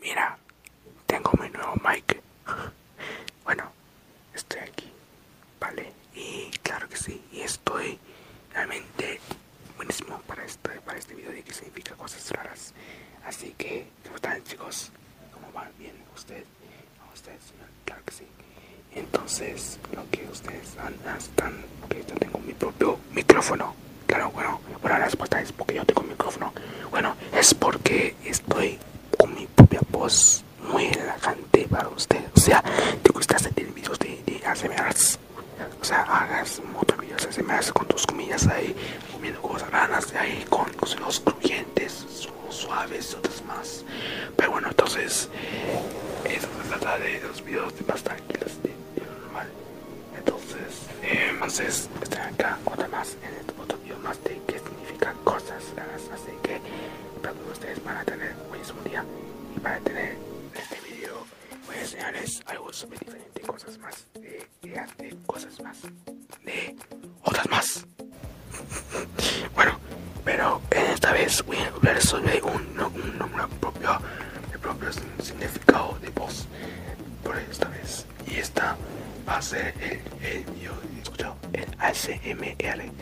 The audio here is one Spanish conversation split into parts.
Mira, tengo mi nuevo mic. bueno, estoy aquí, ¿vale? Y claro que sí, y estoy realmente buenísimo para este, para este video de que significa cosas raras. Así que, ¿cómo están chicos? ¿Cómo van? ¿Bien? ¿Usted? ¿A señor? Claro que sí. Entonces, lo que ustedes han, están, porque yo tengo mi propio micrófono Claro, bueno, bueno, la respuesta es porque yo tengo micrófono. Bueno, es porque estoy con mi propia voz muy relajante para usted. O sea, te gusta hacer videos de, de O sea, hagas muchos videos ASMRs con tus comillas ahí, comiendo cosas raras ahí, con los crujientes, suaves otras más. Pero bueno, entonces, eso la trata de los videos más tranquilos, de, de normal. Entonces, eh, más es, acá otra más en este otro video más de qué significan cosas más Así que espero que ustedes van a tener un día y para tener este video voy a enseñarles algo súper diferente, cosas más eh, de cosas más de otras más. bueno, pero esta vez voy a hablar sobre un, nombre propio, el propio significado de voz por esta vez y esta va a ser el, el, el ASMR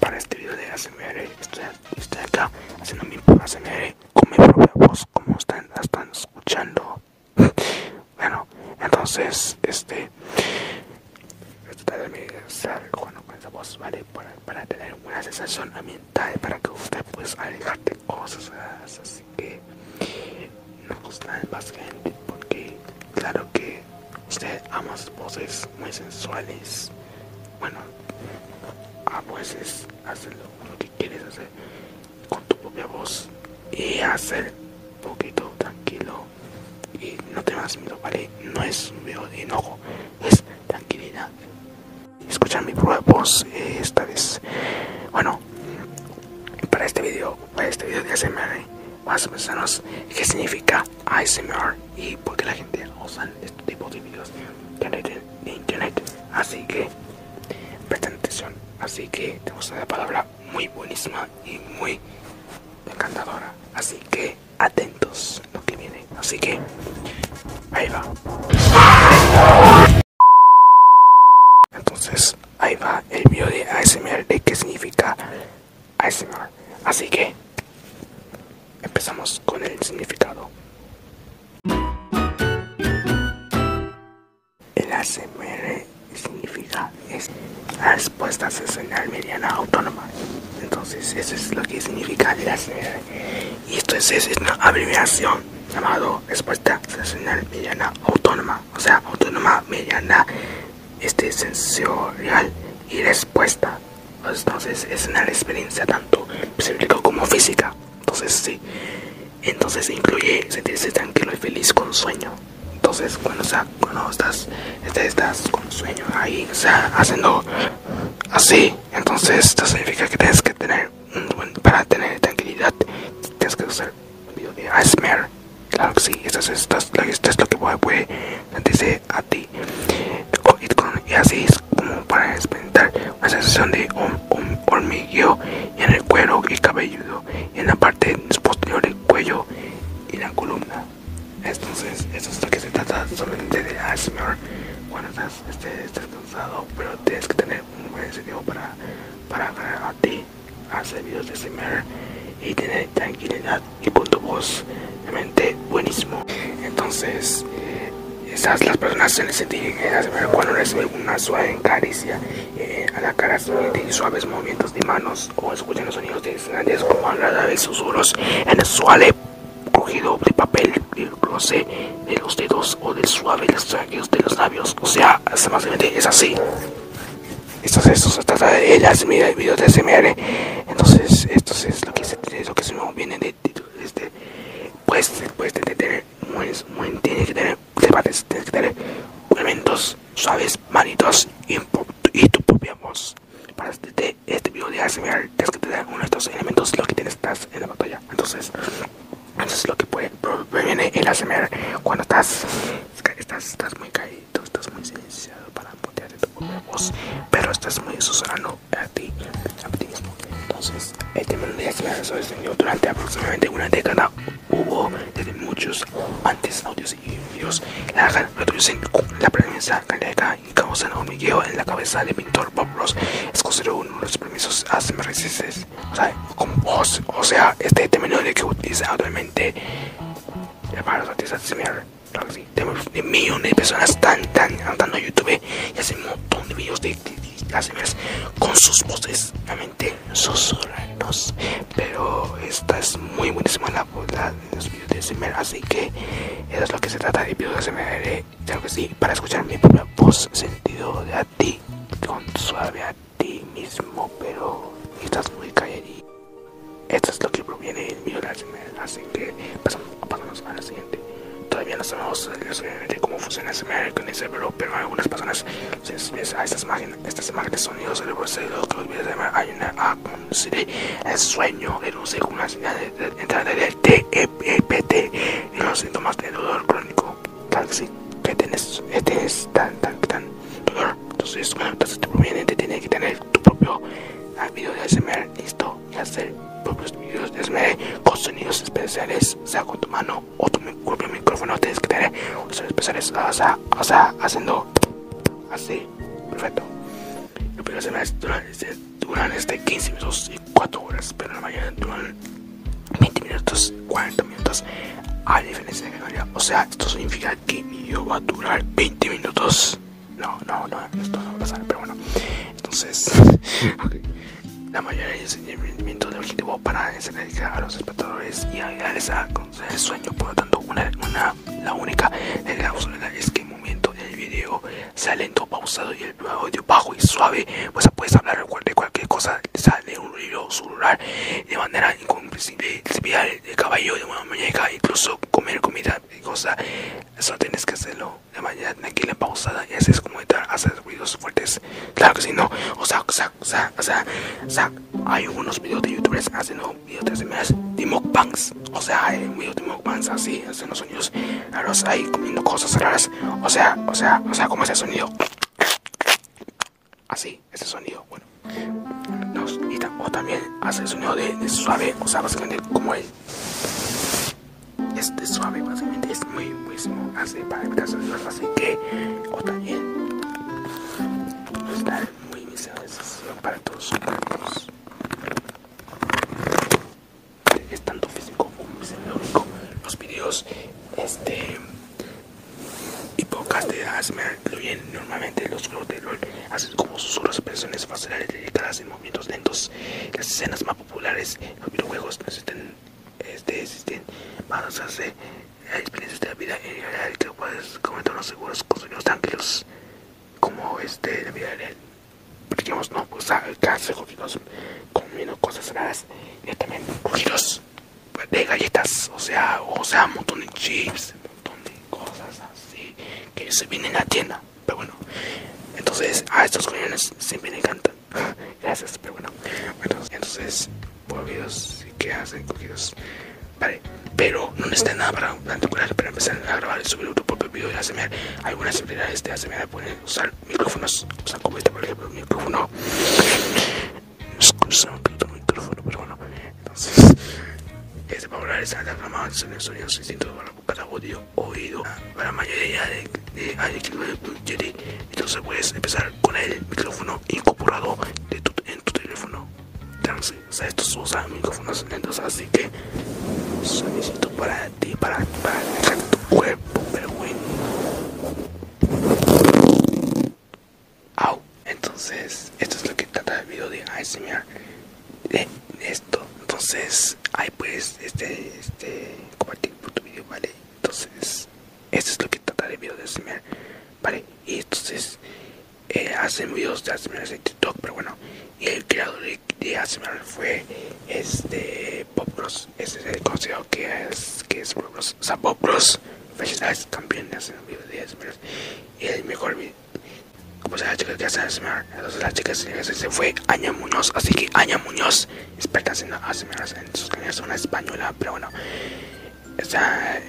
para este video de ASMR estoy, acá haciendo mi ASMR con mi propia voz como están, están escuchando bueno entonces este esto también sale con esa voz vale para, para tener una sensación a mí tal para que usted pues alejarte cosas así que no gustan pues, más gente porque claro que usted ama voces muy sensuales bueno a veces hacer lo que quieres hacer con tu propia voz y hacer un poquito tranquilo y no te vas miedo vale no es un miedo de enojo es tranquilidad Escuchan mi prueba voz eh, esta vez. Bueno, para este vídeo para este video de ASMR, vamos a pensarnos qué significa ASMR y por qué la gente usa este tipo de videos de internet. Así que, presten atención. Así que tenemos una palabra muy buenísima y muy encantadora. Así que, atentos lo que viene. Así que, ahí va. Entonces, ahí va el video de ASMR de qué significa ASMR. Así que, empezamos con el significado. El ASMR significa la respuesta mediana autónoma. Entonces, eso es lo que significa el ASMR y esto es, una abreviación llamado respuesta sensorial mediana autónoma o sea autónoma mediana este sensorial y respuesta entonces es una experiencia tanto psíquica como física entonces sí entonces incluye sentirse tranquilo y feliz con sueño entonces cuando, estás, estás con sueño ahí o sea, haciendo así. Entonces esto significa que tienes que tener, para tener tranquilidad, tienes que usar video de ASMR. Claro que sí, esto es, lo que puede sentirse a ti. Y así es como para experimentar una sensación de hormigueo en el cuero y cabelludo, en la parte posterior del cuello y la columna. Entonces, esto es lo que se trata solamente de ice cuando estás, cansado, pero tienes que tener un buen incentivo para, para a ti, hacer videos de streamer y tener tranquilidad y con tu voz realmente buenísimo. Entonces, esas las personas se les sentir eh, cuando reciben una suave encaricia eh, a la cara y suaves movimientos de manos o escuchan los sonidos de como a la vez susurros en el suave cogido de papel el eh, roce de los dedos o de suave trajes de los labios. O sea, es así. Esto, esto se trata de el video de SMR. Entonces, esto es lo que se, tiene lo que se nos viene de, este. Pues, pues después tener, tiene que tener debates, tiene que tener elementos suaves, manitos y tu propia voz para este, este video de ASMR que es que te dan uno de estos elementos lo que tienes estás en la batalla entonces eso es lo que puede previene el ASMR cuando estás estás, estás muy caído estás muy silenciado para poder tu voz pero estás muy susurrando a ti a ti mismo entonces este video de ASMR se diseñó durante aproximadamente una década hubo desde muchos antes audios y videos la reducen la prensa y causan hormigueo en la cabeza del pintor Bob Ross. Es considerado uno de los permisos ASMRCs. O sea, o, o sea, este término de que utiliza actualmente para los artistas de millones de personas están, están andando YouTube y hacen un montón de videos de, de, con sus voces, realmente susurranos. Pero esta es muy buenísima la, la los videos de Semer, así que eso es lo que se trata de videos de SMR, claro que sí, para escuchar mi propia voz sentido de a ti, con suave a ti mismo, pero estás muy calladito. Esto es lo que proviene del videos de SMR, así que pasamos, a la siguiente. Todavía no sabemos cómo funciona Semer con ese pero, pero algunas personas se a estas imágenes, estas imágenes sonidos, el los videos de hay una a el sueño, de una señal del TEPT y los síntomas de dolor crónico. que tenés, este es tan, tan, tan dolor. Entonces, bueno, entonces proviene te tiene que tener tu propio video de ASMR listo y hacer propios videos de ASMR con sonidos especiales, sea con tu mano o tu propio micrófono. Tienes que tener sonidos especiales, o sea, o sea, haciendo así, perfecto. Los primeros semestres duran 15 minutos y 4 horas, pero la mayoría duran 20 minutos, 40 minutos, a diferencia de Canarias. O sea, esto significa que el video va a durar 20 minutos. No, no, no, esto no va a pasar, pero bueno. Entonces, la mayoría de los entrenamientos de objetivo para enseñar a los espectadores y ayudarles a conseguir el sueño. Por lo tanto, una, una la única es que el momento del video sea lento, pausado y el audio bajo y suave, pues puedes hablar de cualquier cosa, sale un ruido celular de manera incomprensible, de el caballo de una muñeca, incluso comer comida y cosa, eso tienes que hacerlo de manera tranquila, pausada y así es como estar hacer ruidos fuertes, claro que si no, o sea, o sea, o sea, hay unos videos de youtubers haciendo y otras de de mukbangs, o sea, eh, muy de mukbangs así, hacen los sonidos los ahí comiendo cosas raras, o sea, o sea, o sea, como ese sonido, así, ese sonido, bueno, nos, o también hace el sonido de, suave, o sea, básicamente como es este suave, básicamente es muy, muy, así, para evitar sonidos, así que, o también, muy, muy, muy, para todos es tanto físico como psicológico los videos este y podcasts, me lo incluyen normalmente los juegos de rol así como susurros expresiones faciales dedicadas en movimientos lentos las escenas más populares en los videojuegos existen, este existen para hacer experiencias de la vida en general que puedes comentar los seguros con sonidos tranquilos como este la vida real digamos no pues alcance ah, cogidos comiendo cosas raras Y también cogidos de galletas o sea o sea un montón de chips un montón de cosas así que se vienen a la tienda pero bueno entonces a estos coñones siempre me encantan gracias pero bueno, entonces cogidos y Que hacen cogidos ¿vale? Pero no necesitan nada para, para empezar a grabar y subir un propio video de ASMR. Algunas habilidades de ASMR pueden usar micrófonos, o como este, por ejemplo, un micrófono. Excusa un poquito micrófono, pero bueno. Entonces, este para hablar está reclamado sonido sonido, distintos para cada audio oído. Para la mayoría de, de, de, de entonces puedes empezar con el micrófono incorporado en tu teléfono. Trans estos, estos usan micrófonos lentos, así que solicito para ti, para, para tu cuerpo, pero Au. Entonces, esto es lo que trata el video de ASMR. De esto. Entonces, ahí pues este, este, compartir por tu video, ¿vale? Entonces, esto es lo que trata el video de ASMR, ¿vale? Y entonces, hacen videos de ASMR en TikTok, pero bueno, y el creador de, de fue este ese es el consejo que es, que es o sea, Bob Ross, campeón de hacer videos de ASMR, y el mejor video, se la chica que hace ASMR, entonces la chica se fue Aña Muñoz, así que Aña Muñoz, experta haciendo ASMR en sus canales, una española, pero bueno, o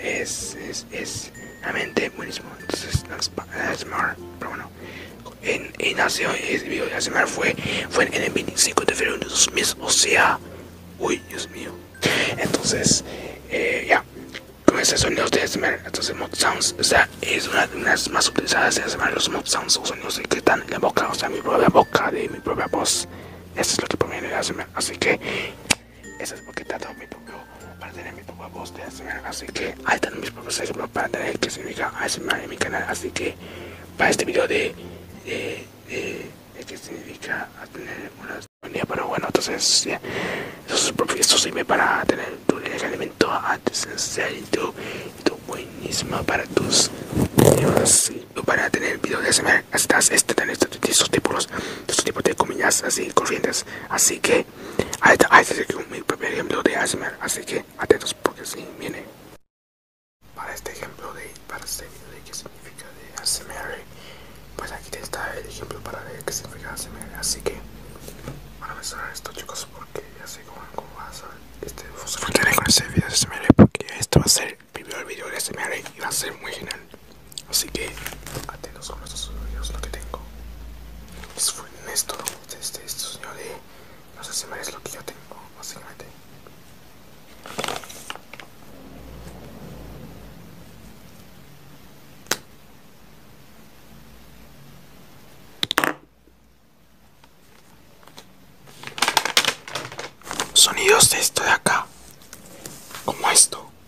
es, es realmente buenísimo. Entonces, asmar pero bueno, en, en nació eh, el video de ASMR fue, fue en el 25 de febrero de 2000, o sea, uy, Dios mío. Entonces, eh, ya, con esos sonidos de ASMR, entonces mod sounds, o sea, es una, de las más utilizadas de ASMR, los mod sounds son sonidos que están en la boca, o sea, mi propia boca, de mi propia voz. Eso es lo que proviene de ASMR, así que eso es porque tanto mi propio, para tener mi propia voz de ASMR. Así que ahí tengo mis propios ejemplos para tener que significa ASMR en mi canal. Así que para este video de, de, que significa tener una sinfonía. Pero bueno, entonces, yeah, eso, es, eso sirve para tener tu alimento antes y tu, tu buenísima para tus Sí, para tener video de ASMR estás este, estos, tipos estos tipos de comidas así corrientes así que Ahí este, a mi primer ejemplo de ASMR, así que atentos porque si viene. Para este ejemplo de, para este qué significa de ASMR, pues aquí está el ejemplo para ver qué significa ASMR, así que van a mencionar esto chicos porque ya sé cómo, va a ser este, con este video de ASMR porque esto va a ser el primer video de ASMR y va a ser muy genial. Así que atentos con estos sonidos, lo que tengo. Eso fue Néstor, este, No sé si me es lo que yo tengo, básicamente. Sonidos de esto de acá, como esto.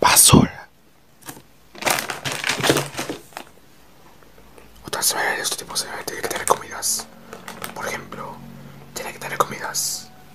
basura. Otras veces este tipo se tiene que tener comidas. Por ejemplo, tiene que tener comidas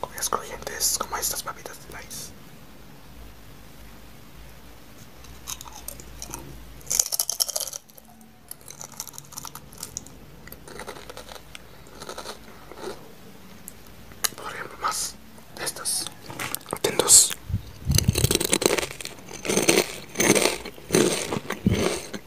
Comidas crujientes como estas papitas de Por ejemplo, más de estas. Atentos.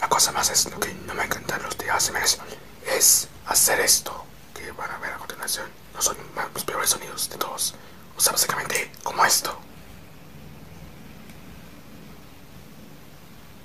La cosa más es lo que no me encantan los de ASMR es hacer esto que van a ver a continuación. No son los peores sonidos de todos. O sea, básicamente como esto.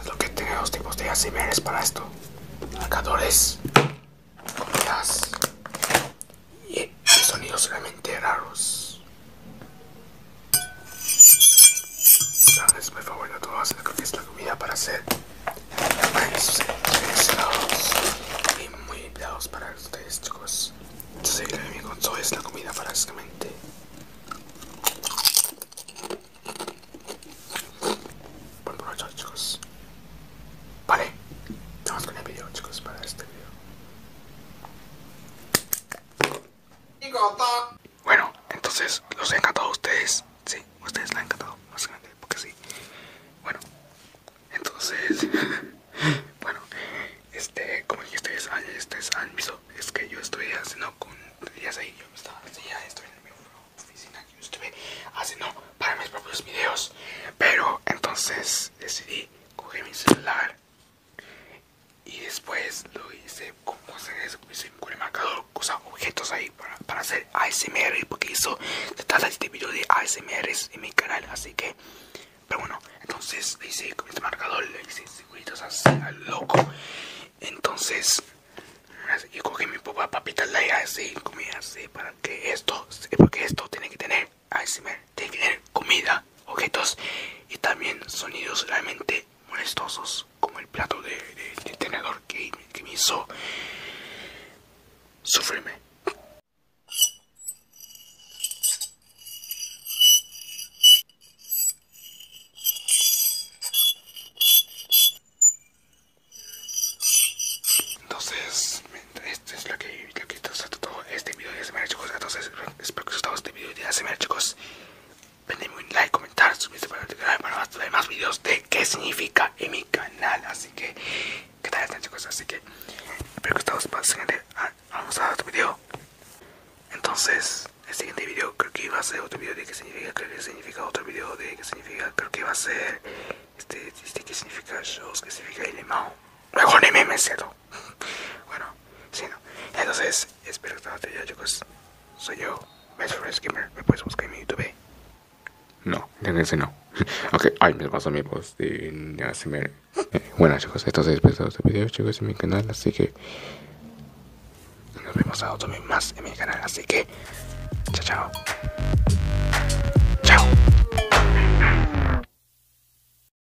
Es lo que tengo los tipos de ASMRs para esto. Marcadores, comidas y sonidos realmente raros todos. Es mi favorito todas, creo que es la comida para hacer maíz y muy empleados para ustedes chicos. Entonces que enemigo es la comida básicamente. Buen provecho chicos. Vale, vamos con el video chicos para este video. Bueno, entonces los he encantado a ustedes. Sí, ustedes la han encantado, básicamente, porque sí. Bueno, entonces. bueno, este, como ya ustedes, ustedes han visto, es que yo estoy haciendo con. Ya sé, yo estaba estoy en mi oficina yo estuve haciendo para mis propios videos. Pero entonces decidí coger mi celular y después lo hice con cosas con el marcador cosa objetos ahí para, para hacer ASMR porque eso se de este de ASMR en mi canal así que pero bueno entonces le hice con este marcador le hice circulitos así al loco entonces yo cogí mi papá papita y así comí así para que esto porque esto tiene que tener ASMR tener comida, objetos y también sonidos realmente molestosos, como el plato de, tenedor que, me hizo sufrirme. Entonces, este es lo que, lo todo este video de hecho cosas, Entonces, espero que os haya gustado este video de la semana chicos. Denme un like, comentar, suscribirse para el canal para más, ver más videos de qué significa en mi canal. Así que, Que tal están chicos? Así que, espero que os haya gustado el siguiente. Ah, vamos a otro video. Entonces, el siguiente video creo que iba a ser otro video de qué significa, creo que significa otro video de qué significa, creo que iba a ser este, este qué significa shows, qué significa el limón. Luego ni memes bueno, si no. Entonces, espero que te haya chicos. Soy yo, Best skimmer Me puedes buscar en mi YouTube. No, ese no. ok, ay, me pasó mi voz de ASMR. Eh, bueno, chicos, entonces espero que este video, chicos, en mi canal. Así que nos vemos a otro más en mi canal. Así que, chao. Chao.